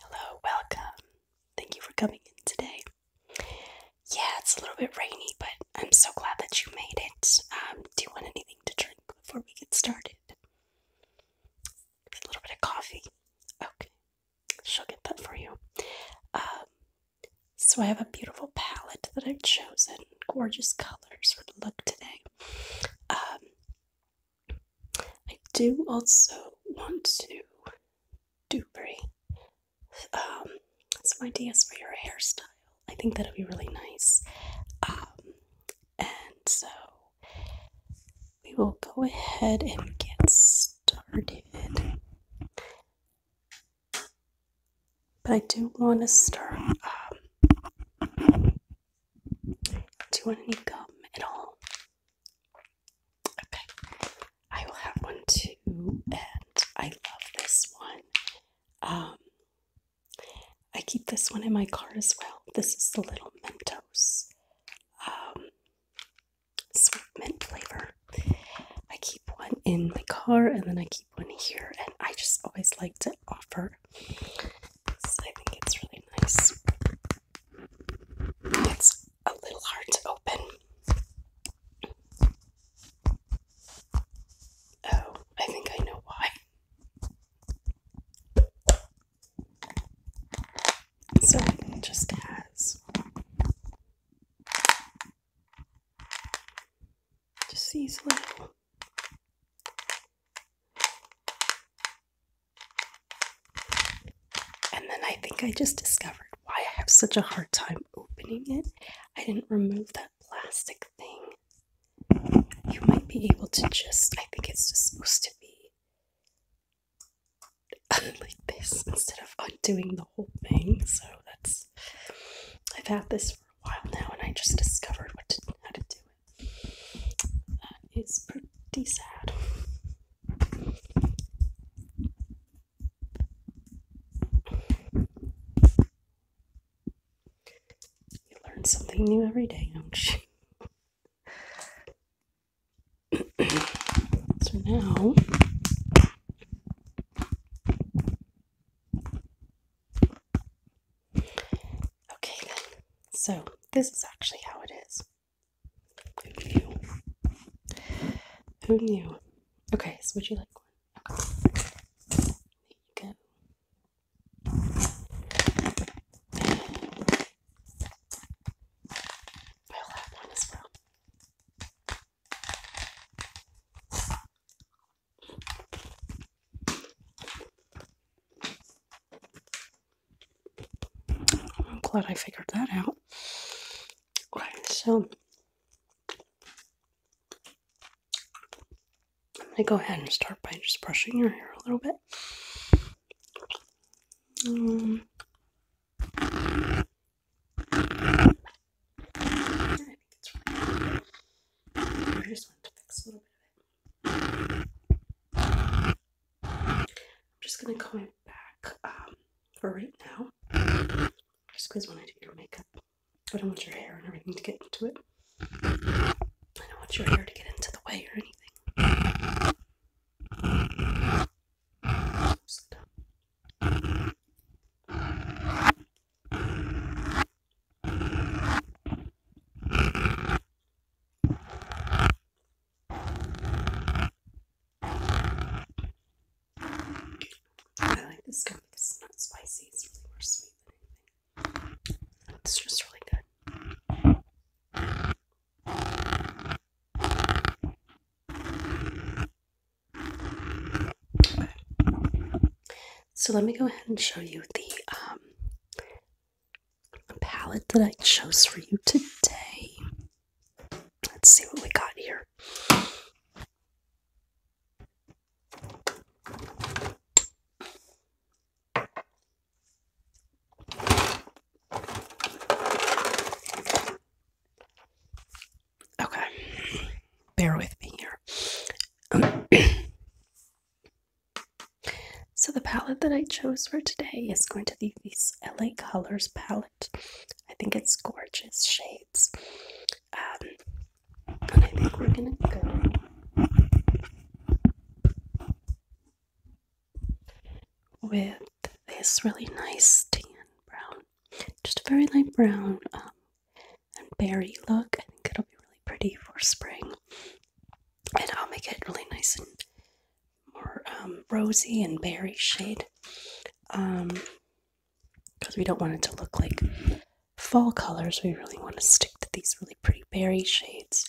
Hello, welcome. Thank you for coming in today. Yeah, it's a little bit rainy, but I'm so glad that you made it. Um, do you want anything to drink before we get started? A little bit of coffee. Okay, she'll get that for you. Um, so I have a beautiful palette that I've chosen, gorgeous colors for the look today. Um, I do also want to do pretty um, some ideas for your hairstyle. I think that'll be really nice. Um, and so we will go ahead and get started. But I do want to start. Um, do you want any gum at all? Okay, I will have one too, and I love this one. Um, I keep this one in my car as well. This is the little Mentos um, sweet mint flavor. I keep one in my car, and then I keep one here, and I just always like to offer. So I think it's really nice. It's a little hard to open. Oh, I think I know why. So just as, just these and then I think I just discovered why I have such a hard time opening it. I didn't remove that plastic thing. You might be able to just, I think it's supposed to be like this instead of undoing the whole thing. So that's, I've had this for a while now and I just discovered what how to do it. That uh, is pretty sad. You learn something new every day, don't you? so now. Okay, So, this is actually how it is. Who knew? Who knew? Okay, so would you like one? There you go. I'll one as well. I'm glad I figured that out. Right, so I'm gonna go ahead and start by just brushing your hair a little bit. Um, I am just going to in back um, for right now. Just because when I do your makeup, I don't want your hair and everything to get into it. I don't want your hair to get into the way or anything. Uh, I like this gum because it's not spicy, it's more sweet It's just really good. So let me go ahead and show you the um, palette that I chose for you today. Let's see what we got here. Okay, bear with me here. So the palette that I chose for today is going to be this LA Colors palette. I think it's gorgeous shades. and um, I think we're gonna go with this really nice tan brown, just a very light brown um, and berry look. I think it'll be really pretty for spring, and I'll make it really nice and more um, rosy and berry shade because um, we don't want it to look like fall colors. We really want to stick to these really pretty berry shades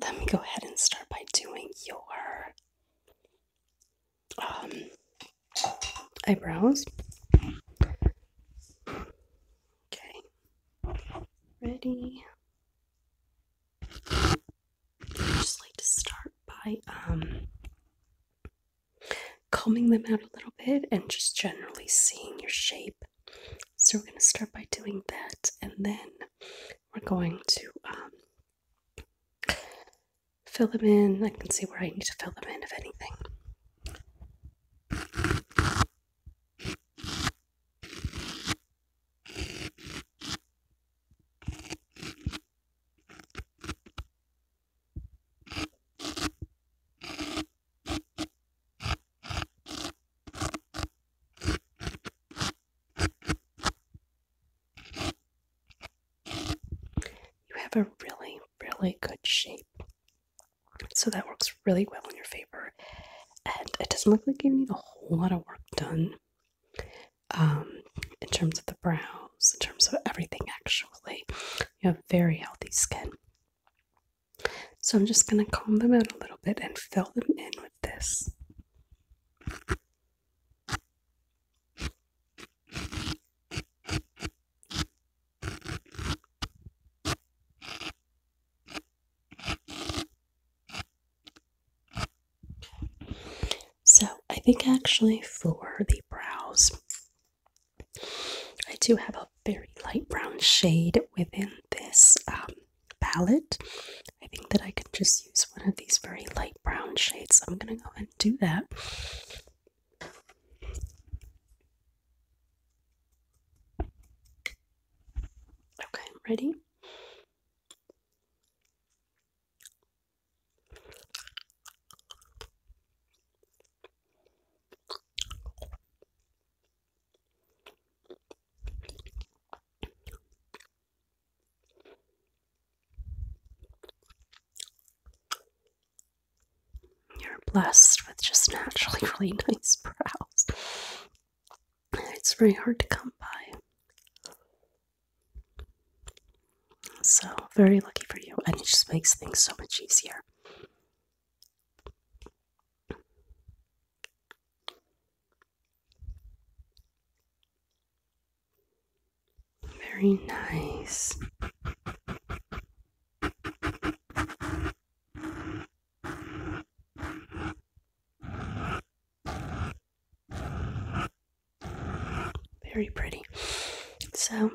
let me go ahead and start by doing your um, eyebrows. Okay, ready. I just like to start by um, combing them out a little bit and just generally seeing your shape. So we're going to start by doing that, and then we're going to um, fill them in. I can see where I need to fill them in, if anything. You have a really, really good shape. So that works really well in your favor. And it doesn't look like you need a whole lot of work done um, in terms of the brows, in terms of everything, actually. You have very healthy skin. So I'm just going to comb them out a little bit and fill them in with this. So, I think actually for the brows, I do have a very light brown shade within this um, palette. I think that I can just use one of these very light brown shades. I'm going to go and do that. Okay, ready? You're blessed with just naturally really nice brows. It's very hard to come by. So, very lucky for you, and it just makes things so much easier. Very nice. Very pretty. So,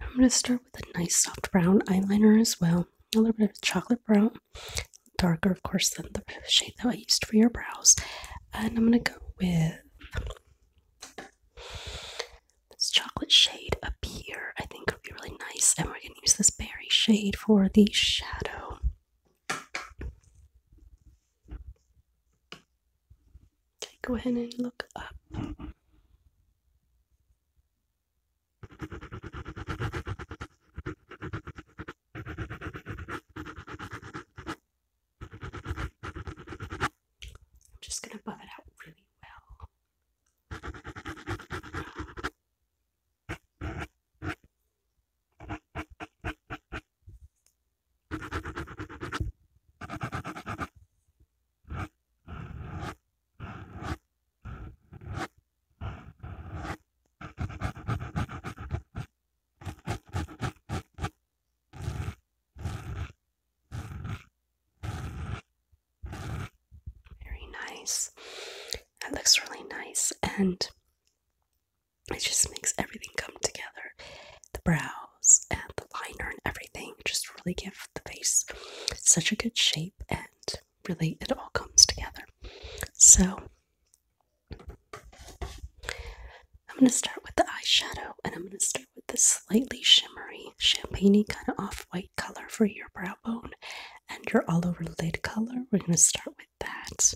I'm going to start with a nice soft brown eyeliner as well. A little bit of chocolate brown darker, of course, than the shade that I used for your brows. And I'm going to go with this chocolate shade up here. I think it would be really nice. And we're going to use this berry shade for the shadow. go ahead and look up. I'm just going to buff it out really well. Very nice. That looks really nice and it just makes everything come together. The brows and the liner and everything just really give the face such a good shape and really it all comes together. So I'm going to start with the eyeshadow and I'm going to start with this slightly shimmery, champagne kind of off white color for your brow bone and your all over lid color. We're going to start with that.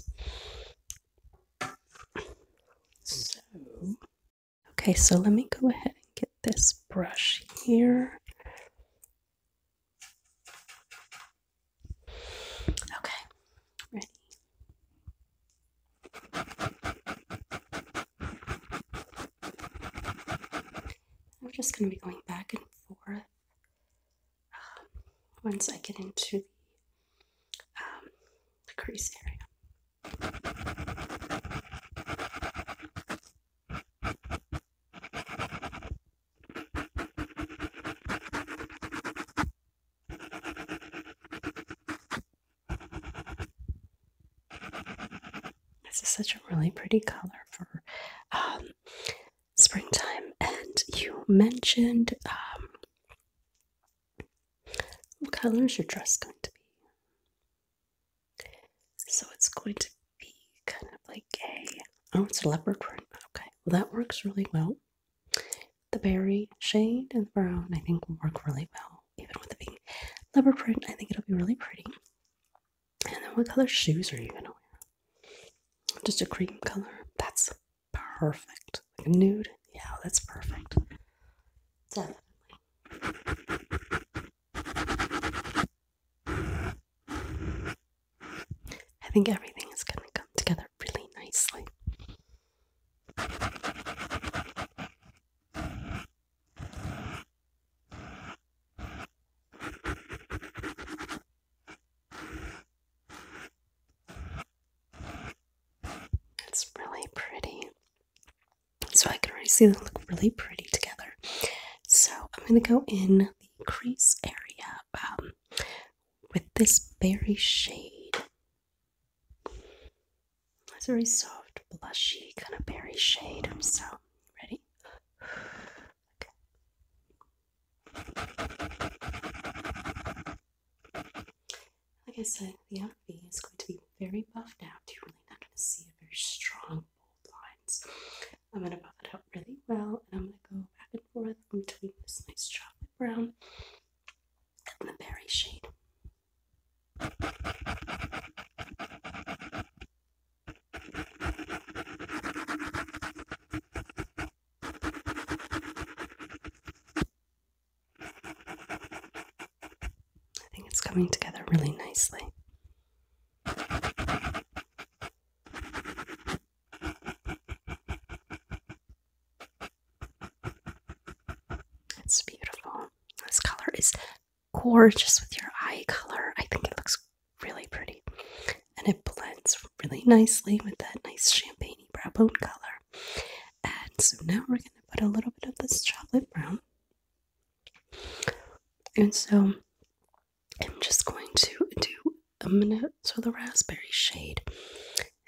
So, okay, so let me go ahead and get this brush here. Okay, ready. I'm just going to be going back and forth um, once I get into the um, crease area. This is such a really pretty color for um, springtime. And you mentioned um, what color is your dress going to be? So it's going to be kind of like gay. oh, it's a leopard print. Okay, well that works really well. The berry shade and brown I think will work really well, even with the being leopard print. I think it'll be really pretty. And then what color shoes are you gonna wear? Just a cream color. That's perfect. Like a nude. Yeah, that's perfect. Definitely. I think everything is going to come together really nicely. It's really pretty. So I can already see them look really pretty together. So I'm going to go in crease area um, with this berry shade. It's a very soft, blushy kind of berry shade. So, ready? Okay. Like I said, the outfit is going to be very buffed out. You're really not going to see a very strong, lines. I'm going to buff it out really well and I'm going to go back and forth in between this nice chocolate brown and the berry shade. I think it's coming together really nicely. It's beautiful. This color is gorgeous with your eye color. I think it looks really pretty. And it blends really nicely with that nice champagne brow bone color. And so now we're going to put a little bit of this chocolate brown. And so I'm just going to do I'm gonna so the raspberry shade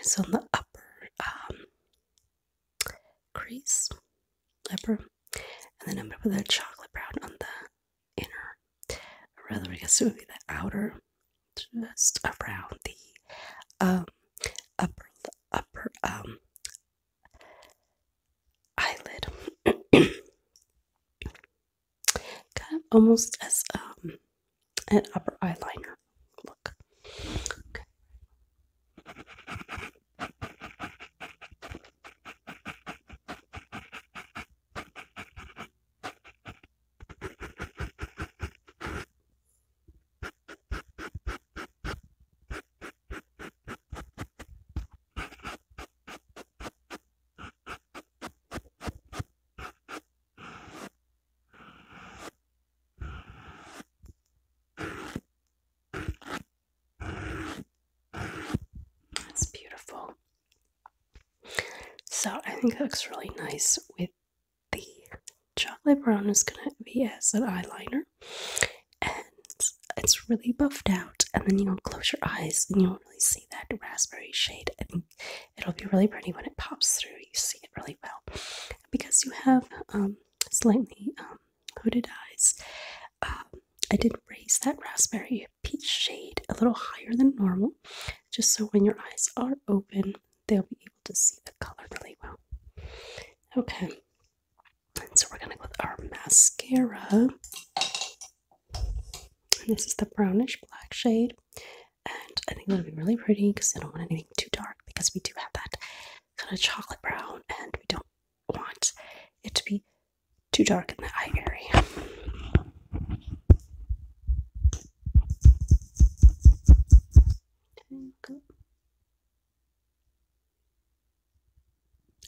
is on the upper um, crease, upper, and then I'm gonna put the chocolate brown on the inner. rather, I guess it would be the outer, just around the um, upper upper um, eyelid. kind of almost as um, an upper eyeliner look. Okay. That's beautiful. So I think it looks really nice with the chocolate brown is gonna be as an eyeliner and it's really buffed out and then you'll close your eyes and you'll see that raspberry shade. I think it'll be really pretty when it pops through. You see it really well. Because you have um, slightly um, hooded eyes, um, I did raise that raspberry peach shade a little higher than normal, just so when your eyes are open, they'll be able to see the color really well. Okay, so we're gonna go with our mascara this is the brownish black shade. And I think it will be really pretty because I don't want anything too dark because we do have that kind of chocolate brown and we don't want it to be too dark in the eye area.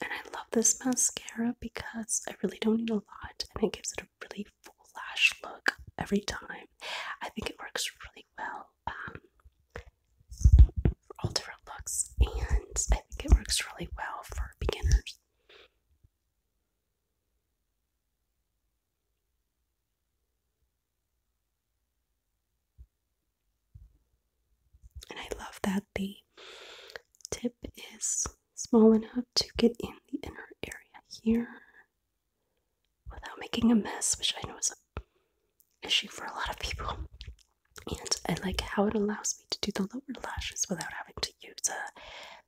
And I love this mascara because I really don't need a lot and it gives it a really full lash look every time. I think it works really well um, for all different looks, and I think it works really well for beginners. And I love that the tip is small enough to get in the inner area here without making a mess, which I know is an issue for a lot of people. And I like how it allows me to do the lower lashes without having to use a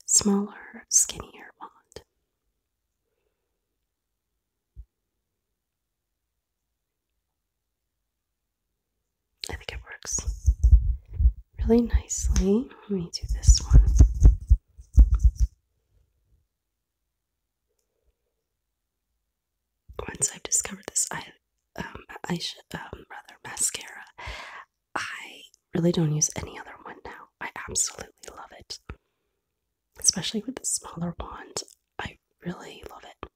smaller, skinnier wand. I think it works really nicely. Let me do this one. Once I've discovered this I um I should um rather mascara, I really don't use any other one now. I absolutely love it. Especially with the smaller wand. I really love it.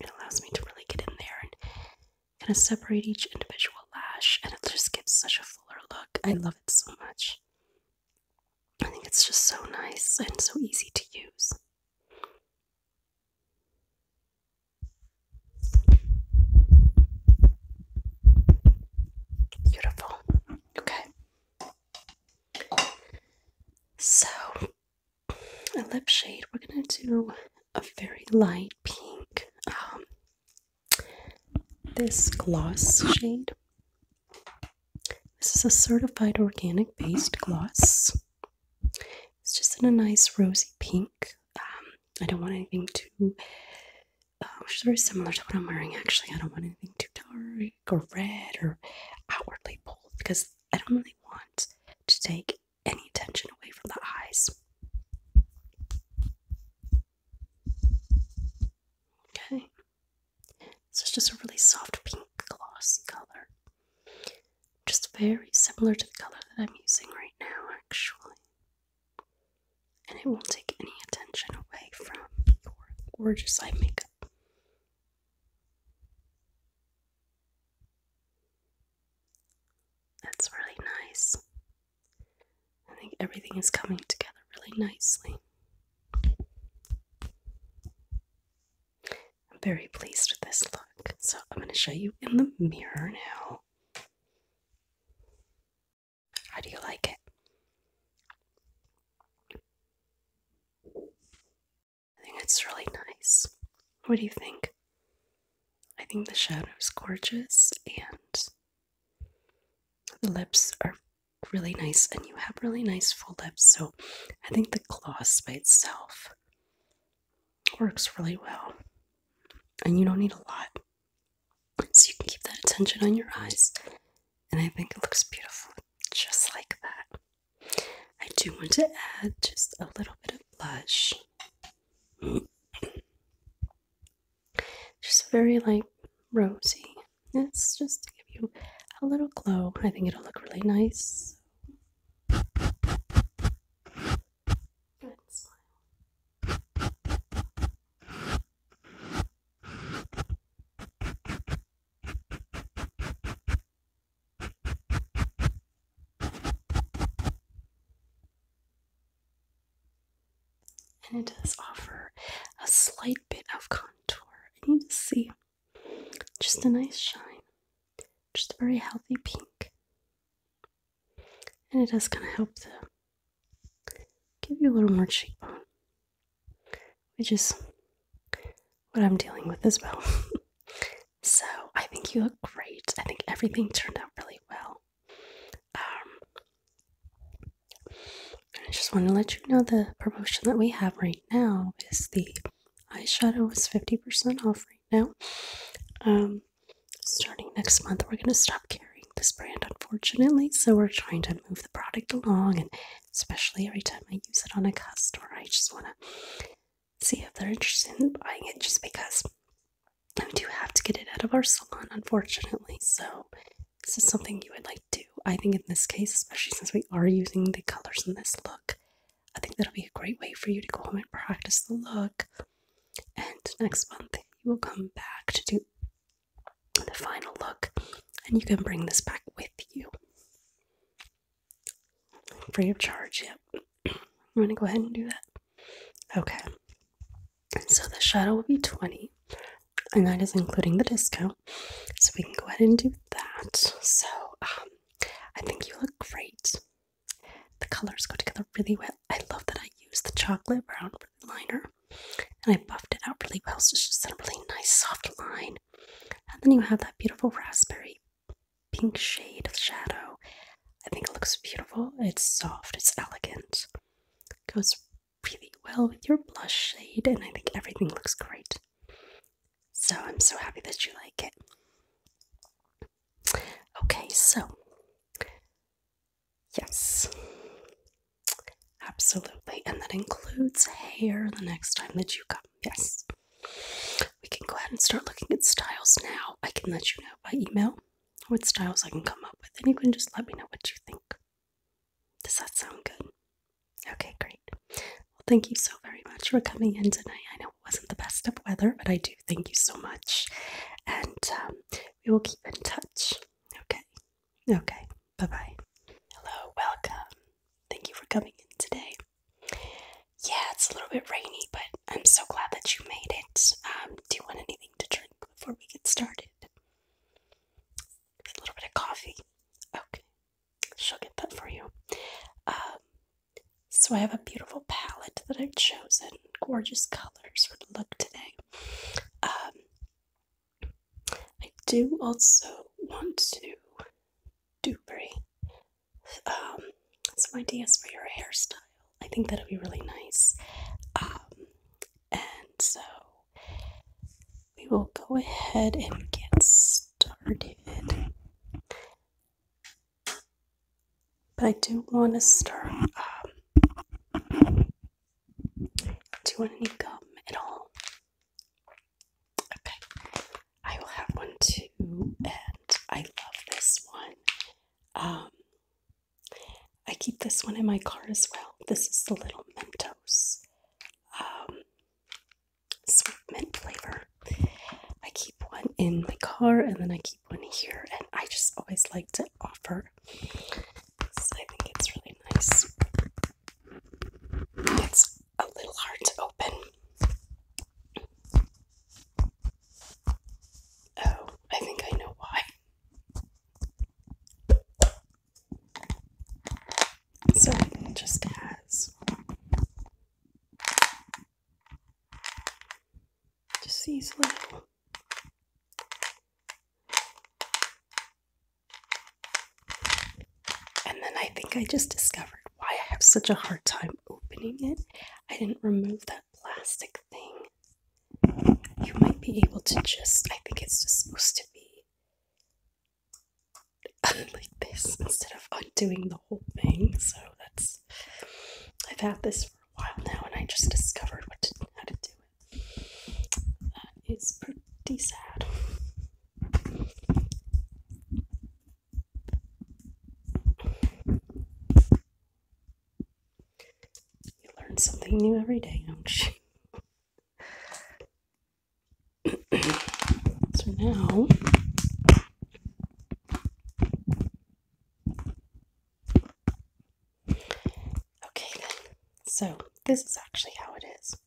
It allows me to really get in there and kind of separate each individual lash, and it just gives such a fuller look. I love it so much. I think it's just so nice and so easy to use. Beautiful. Okay. So, a lip shade, we're going to do a very light pink. Um, this gloss shade. This is a certified organic based gloss. It's just in a nice rosy pink. Um, I don't want anything too Oh, which is very similar to what I'm wearing actually. I don't want anything too dark or red or outwardly bold because I don't really want to take any attention away from the eyes. Okay, this is just a really soft pink glossy color, just very similar to the color that I'm using right now, actually and it won't take any attention away from your gorgeous eye makeup. That's really nice. I think everything is coming together really nicely. I'm very pleased with this look, so I'm going to show you in the mirror now. How do you like it? I think it's really nice. What do you think? I think the shadow is gorgeous and the lips are really nice and you have really nice full lips so I think the gloss by itself works really well and you don't need a lot so you can keep that attention on your eyes. And I think it looks beautiful just like that. I do want to add just a little bit of blush. Just very like rosy. It's just to give you a little glow. I think it'll look really nice. And it does offer a slight bit of contour. I need to see just a nice shine, just a very healthy pink. And it does kind of help the give you a little more cheekbone, which is what I'm dealing with as well. so I think you look great. I think everything turned out really well. Um, I just want to let you know the promotion that we have right now is the eyeshadow is 50% off right now. Um, starting next month, we're going to stop carrying this brand, unfortunately. So we're trying to move the product along and especially every time I use it on a customer. I just want to see if they're interested in buying it just because we do have to get it out of our salon, unfortunately. So, this is something you would like to I think in this case, especially since we are using the colors in this look, I think that'll be a great way for you to go home and practice the look. And next month, you will come back to do the final look, and you can bring this back with you. Free of charge, yep. I'm gonna go ahead and do that. Okay. So the shadow will be 20, and that is including the discount. So we can go ahead and do that. So um, I think you look great. The colors go together really well. I love that I use the chocolate brown for the liner. And I buffed it out really well, so it's just a really nice soft line. And then you have that beautiful raspberry pink shade of shadow. I think it looks beautiful. It's soft, it's elegant. It goes really well with your blush shade, and I think everything looks great. So I'm so happy that you like it. Okay, so yes, Absolutely. And that includes hair the next time that you come. Yes. We can go ahead and start looking at styles now. I can let you know by email what styles I can come up with, and you can just let me know what you think. Does that sound good? Okay, great. Well, thank you so very much for coming in tonight. I know it wasn't the best of weather, but I do thank you so much. And um, we will keep in touch. Okay. Okay, bye bye. Hello, welcome. Thank you for coming in today. Yeah, it's a little bit rainy, but I'm so glad that you made it. Um, do you want anything to drink before we get started? A little bit of coffee. Okay, she'll get that for you. Um, so I have a beautiful palette that I've chosen, gorgeous colors for the look today. Um, I do also want to do um, some ideas for your hairstyle. I think that'll be really nice. Um, and so we will go ahead and get started. But I do want to start. Um, do you want any gum at all? Okay, I will have one too, and I love this one. Um, I keep this one in my car as well. This is the little Mentos um, sweet mint flavor. I keep one in my car, and then I keep one here, and I just always like to offer. I think it's really nice. It's a little hard to open. Oh, I think I know why. So just has just these and then I think I just discovered why I have such a hard time opening it. I didn't remove that plastic thing. You might be able to just, I think it's supposed to be like this instead of undoing the whole thing. So that's, I've had this for a while now and I just discovered what to do that is pretty sad. You learn something new every day, don't you? so now. Okay, So, this is actually how it is.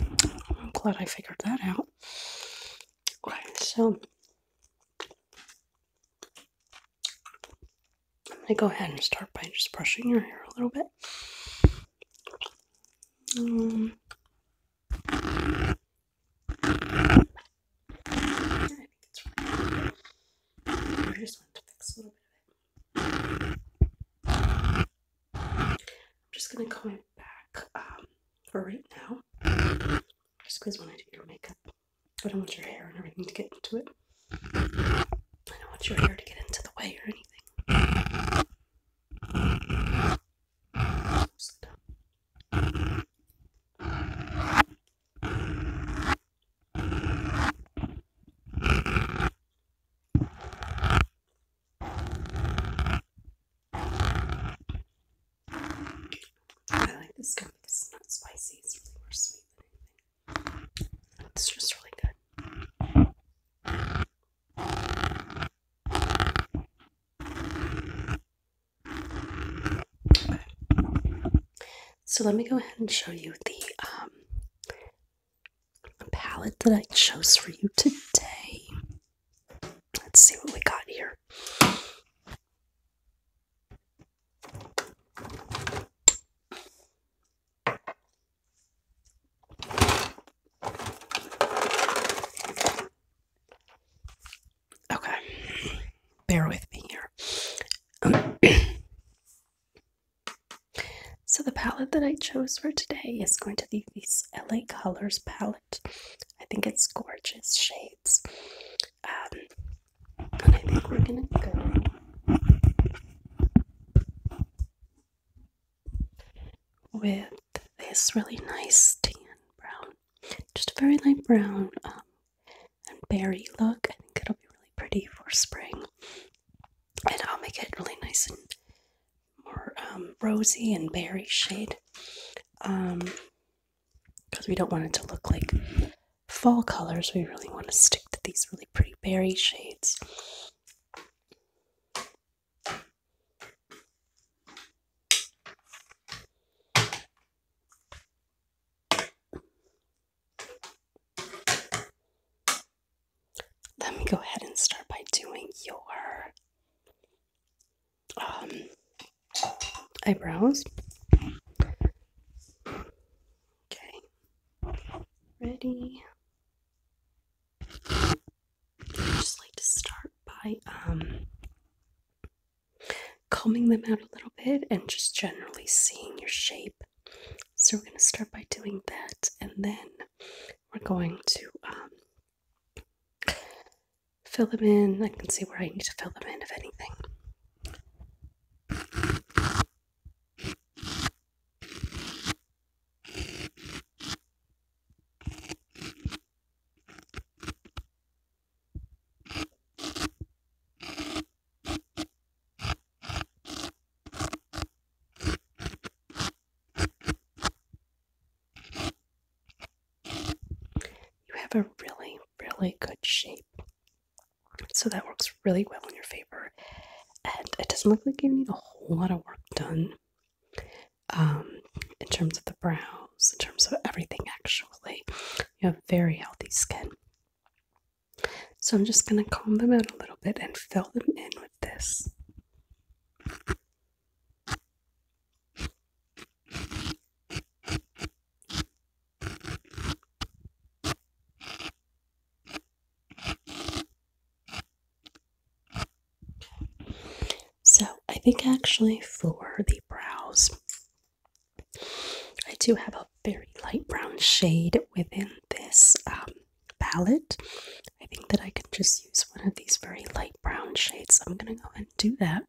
I'm glad I figured that out. Right, so I'm gonna go ahead and start by just brushing your hair a little bit. Um, I'm just gonna comb it back um, for right now, just because when I do your makeup, I don't want your hair and everything to get into it. I don't want your hair to get into the way or anything. Uh, I like this gummy because it's not spicy, it's more sweet It's just really good. So let me go ahead and show you the um palette that I chose for you today. Let's see what we got here. Okay, bear with me here. So the palette that I chose for today is going to be this LA Colors palette. I think it's gorgeous shades. Um, and I think we're gonna go with this really nice tan brown, just a very light brown um, and berry look. I think it'll be really pretty for spring, and I'll make it really nice and more um, rosy and berry shade because um, we don't want it to look like fall colors we really want to stick to these really pretty berry shades let me go ahead and start by doing your um, eyebrows. Okay, ready. I just like to start by um, combing them out a little bit and just generally seeing your shape so we're going to start by doing that, and then we're going to um, fill them in. I can see where I need to fill them in, if anything. You have a really, really good shape. So that works really well in your favor. And it doesn't look like you need a whole lot of work done um, in terms of the brows, in terms of everything, actually. You have very healthy skin. So I'm just going to comb them out a little bit and fill them in with this. So, I think actually for the brows, I do have a very light brown shade within this um, palette. I think that I can just use one of these very light brown shades. I'm going to go and do that.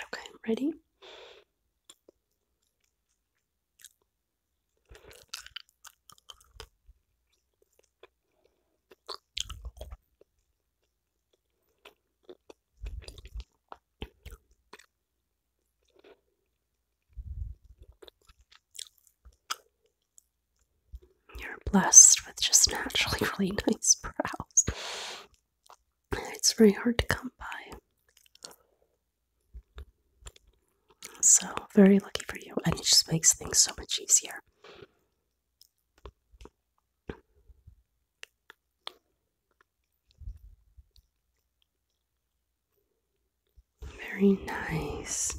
Okay, ready? You're blessed with just naturally really nice brows. It's very hard to come by. So, very lucky for you, and it just makes things so much easier. Very nice.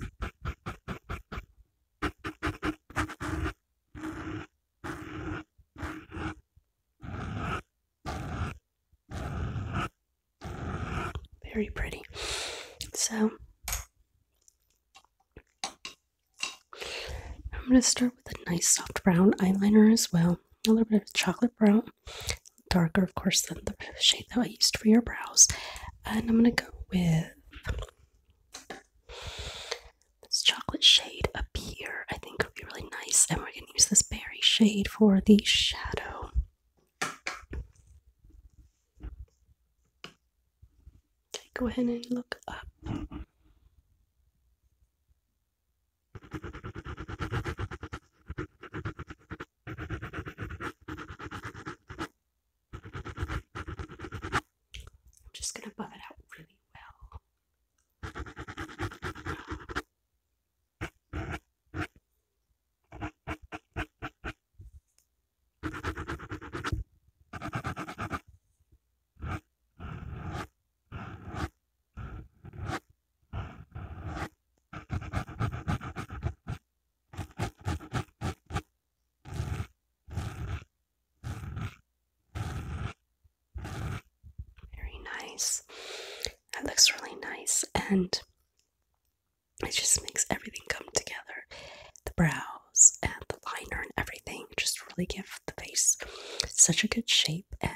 Very pretty. So, I'm going to start with a nice soft brown eyeliner as well a little bit of chocolate brown, darker, of course, than the shade that I used for your brows. And I'm gonna go with this chocolate shade up here. I think would be really nice. And we're gonna use this berry shade for the shadow. Okay, go ahead and look up. I'm just going to buff it out really well. Very nice. That looks really nice and it just makes everything come together. The brows and the liner and everything just really give the face such a good shape and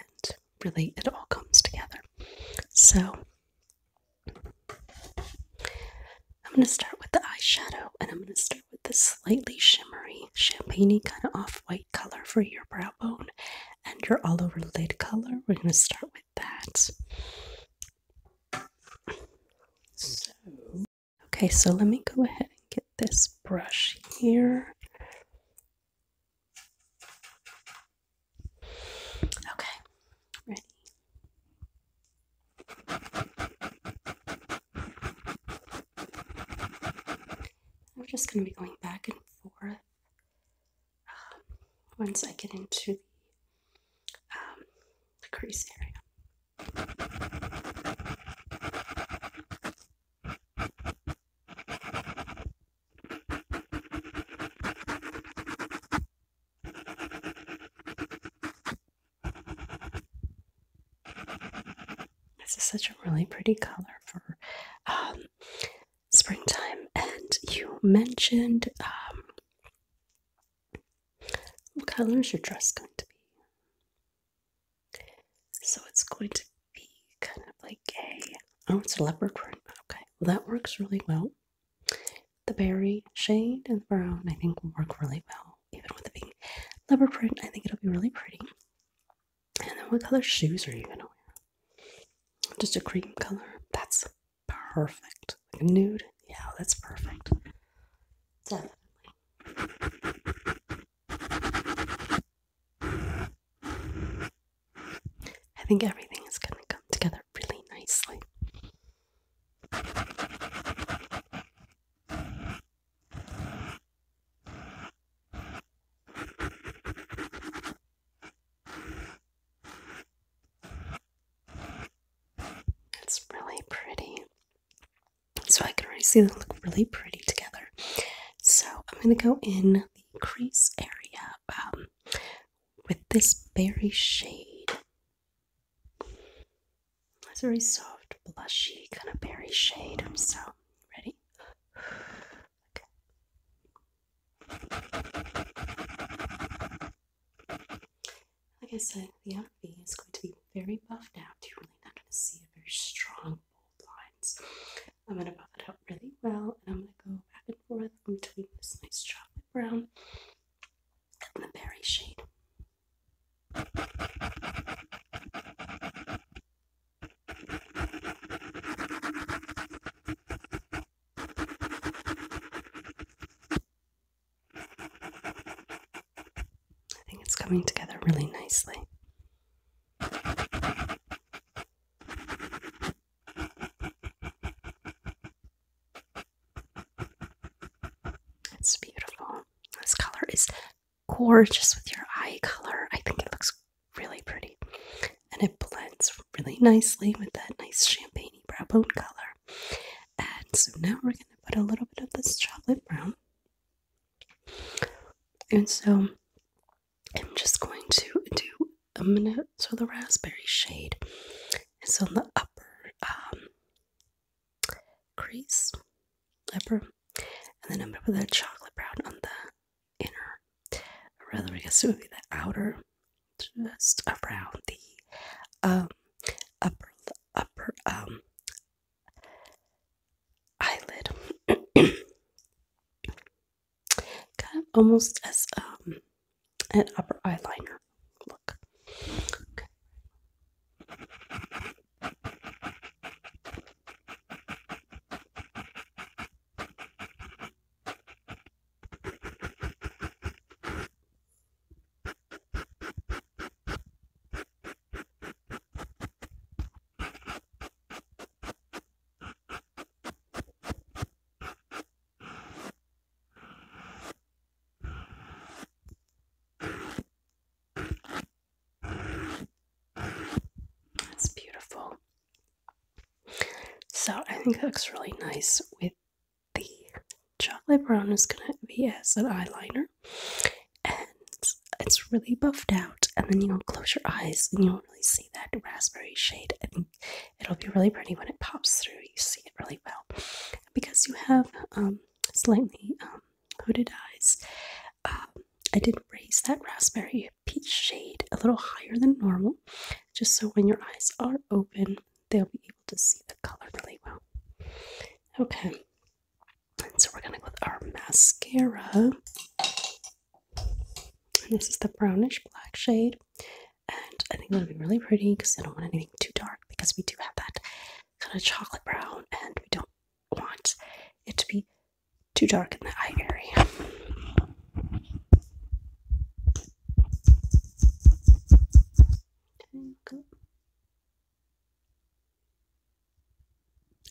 really it all comes together. So I'm going to start with the eyeshadow and I'm going to start with this slightly shimmery, champagne kind of off white color for your brow bone and your all over lid color. We're going to start with that. So, okay, so let me go ahead and get this brush here. Okay, ready. I'm just going to be going back and forth um, once I get into the um, crease area. This is such a really pretty color for um, springtime. And you mentioned um, what color is your dress going to be? So it's going to be kind of like a oh, it's a leopard print. Okay, well that works really well. The berry shade and brown I think will work really well, even with the pink leopard print. I think it'll be really pretty. And then what color shoes are you gonna wear? Just a cream color. That's perfect. Like a nude. Yeah, that's perfect. Definitely. I think everything is going to come together really nicely. It's really pretty. So I can already see they look really pretty together. So I'm going to go in crease area um, with this berry shade. It's a very soft, blushy kind of berry shade. So, ready? Like I said, the outfit is going to be very buffed out. You're really not going to see a very strong bold lines. I'm going to buff it out really well, and I'm going to go back and forth between this nice chocolate brown and the berry shade. I think it's coming together really nicely. It's beautiful. This color is gorgeous with your eye color. I think it looks really pretty. And it blends really nicely with that nice champagne brow bone color. And so now we're going to put a little bit of this chocolate brown. And so I'm just going to do I'm gonna so the raspberry shade is on the upper um, crease upper and then I'm gonna put that chocolate brown on the inner rather I guess it would be the outer just around the um, upper upper um, eyelid kind of almost as um, an upper eyeliner look. That's beautiful. So I think that looks really nice with the chocolate brown is going to be as an eyeliner. And it's really buffed out. And then you'll close your eyes and you'll really see that raspberry shade. I it'll be really pretty when it pops through. You see it really well. Because you have um, slightly um, hooded eyes, um, I did raise that raspberry peach shade a little higher than normal, just so when your eyes are open, they'll be able to see the color really well. Okay, and so we're gonna go with our mascara. And this is the brownish black shade. And I think it will be really pretty because I don't want anything too dark because we do have that kind of chocolate brown and we don't want it to be too dark in the eye area.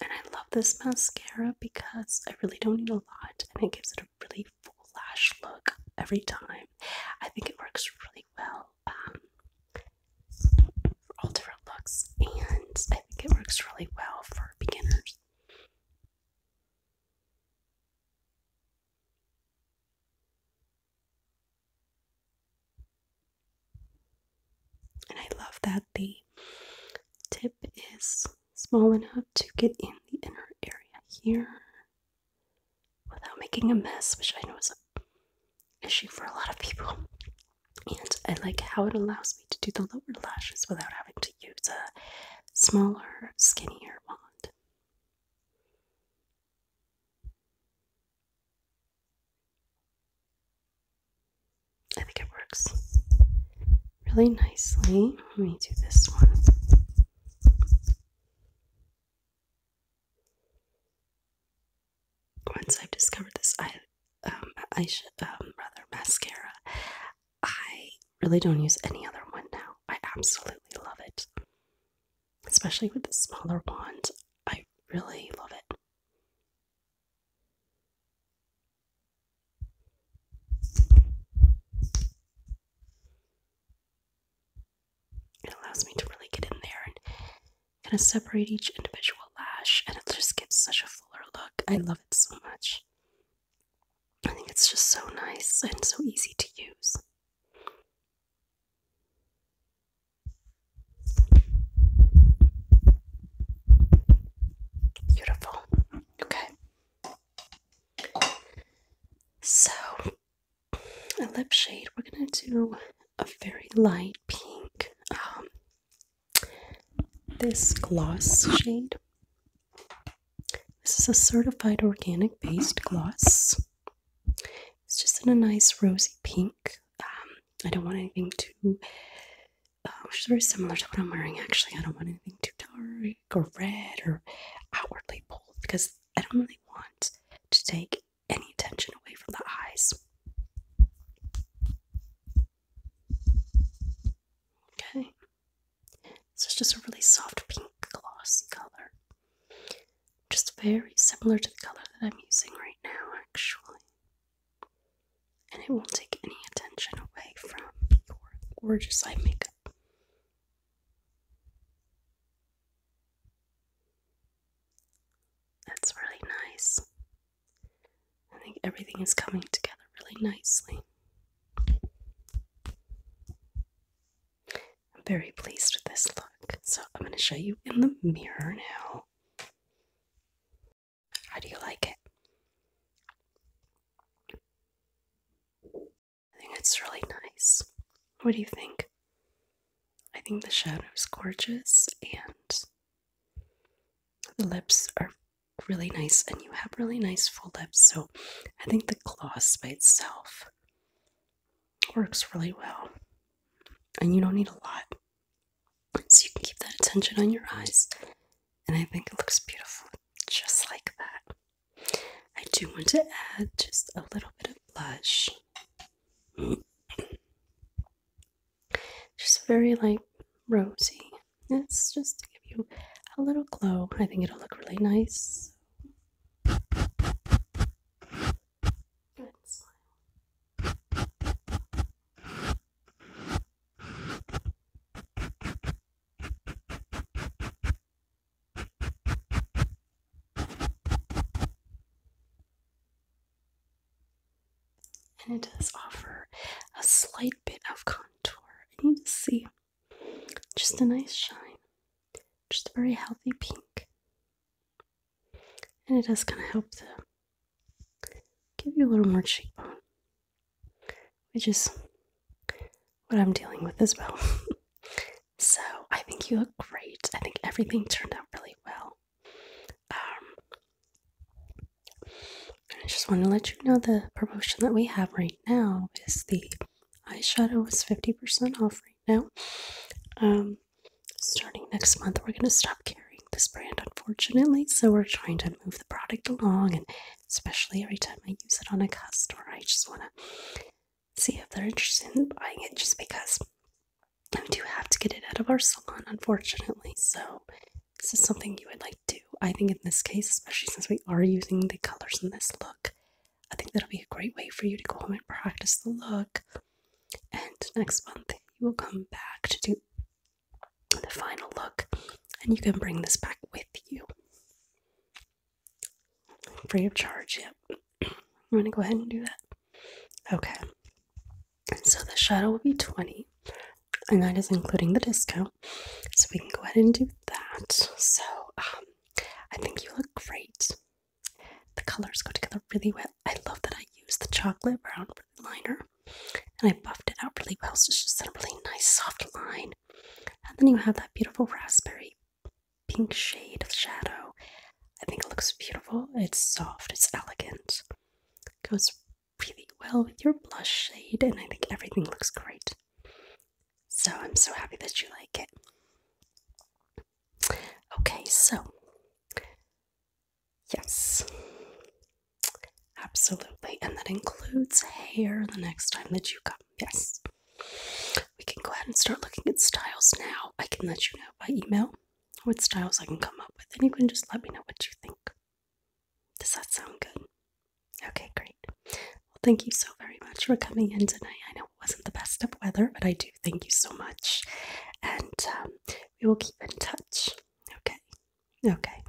And I love this mascara because I really don't need a lot and it gives it a really full lash look every time. I think it works really well um, for all different looks, and I think it works really well for beginners. And I love that the tip is small enough to get in the inner area here without making a mess, which I know is a issue for a lot of people. And I like how it allows me to do the lower lashes without having to use a smaller, skinnier wand. I think it works really nicely. Let me do this one. Once I've discovered this eye, um, I should um, rather mascara. I really don't use any other one now. I absolutely love it, especially with the smaller wand. I really love it. It allows me to really get in there and kind of separate each individual lash, and it just gives such a fuller look. I love it so much. I think it's just so nice and so easy to use. Beautiful. Okay. So, a lip shade, we're gonna do a very light pink. Um, this gloss shade. This is a certified organic based gloss. It's just in a nice rosy pink. Um, I don't want anything too Oh, which is very similar to what I'm wearing actually. I don't want anything too dark or red or outwardly bold because I don't really want to take any attention away from the eyes. Okay, this is just a really soft pink glossy color, just very similar to the color that I'm using right now, actually and it won't take any attention away from your gorgeous eye makeup. That's really nice. I think everything is coming together really nicely. I'm very pleased with this look, so I'm going to show you in the mirror now. How do you like it? I think it's really nice. What do you think? I think the shadow is gorgeous and the lips are really nice and you have really nice full lips so I think the gloss by itself works really well and you don't need a lot so you can keep that attention on your eyes and I think it looks beautiful just like that. I do want to add just a little bit of blush. Just very like rosy. It's just to give you a little glow. I think it'll look really nice. And it does offer a slight bit of contour. I need to see. Just a nice shine. Just a very healthy pink. And it does kind of help to give you a little more cheekbone which is what I'm dealing with as well. so I think you look great. I think everything turned out really well. Um, I just want to let you know the promotion that we have right now is the eyeshadow is 50% off right now. Um, starting next month, we're going to stop carrying this brand, unfortunately. So we're trying to move the product along and especially every time I use it on a customer. I just want to see if they're interested in buying it just because I do have to get it out of our salon, unfortunately. So, this is something you would like to. I think in this case, especially since we are using the colors in this look, I think that'll be a great way for you to go home and practice the look. And next month, you will come back to do the final look, and you can bring this back with you. Free of charge, yep. I'm gonna go ahead and do that. Okay. So the shadow will be 20, and that is including the discount. So we can go ahead and do that. So um, I think you look great. The colors go together really well. I love that I use the chocolate brown for the liner. And I buffed it out really well, so it's just a really nice soft line. And then you have that beautiful raspberry pink shade of shadow. I think it looks beautiful. It's soft, it's elegant. It goes really well with your blush shade, and I think everything looks great. So I'm so happy that you like it. Okay, so yes, Absolutely. And that includes hair the next time that you come. Yes. We can go ahead and start looking at styles now. I can let you know by email what styles I can come up with, and you can just let me know what you think. Does that sound good? Okay, great. Well, thank you so very much for coming in tonight. I know it wasn't the best of weather, but I do thank you so much. And um, we will keep in touch. Okay. Okay.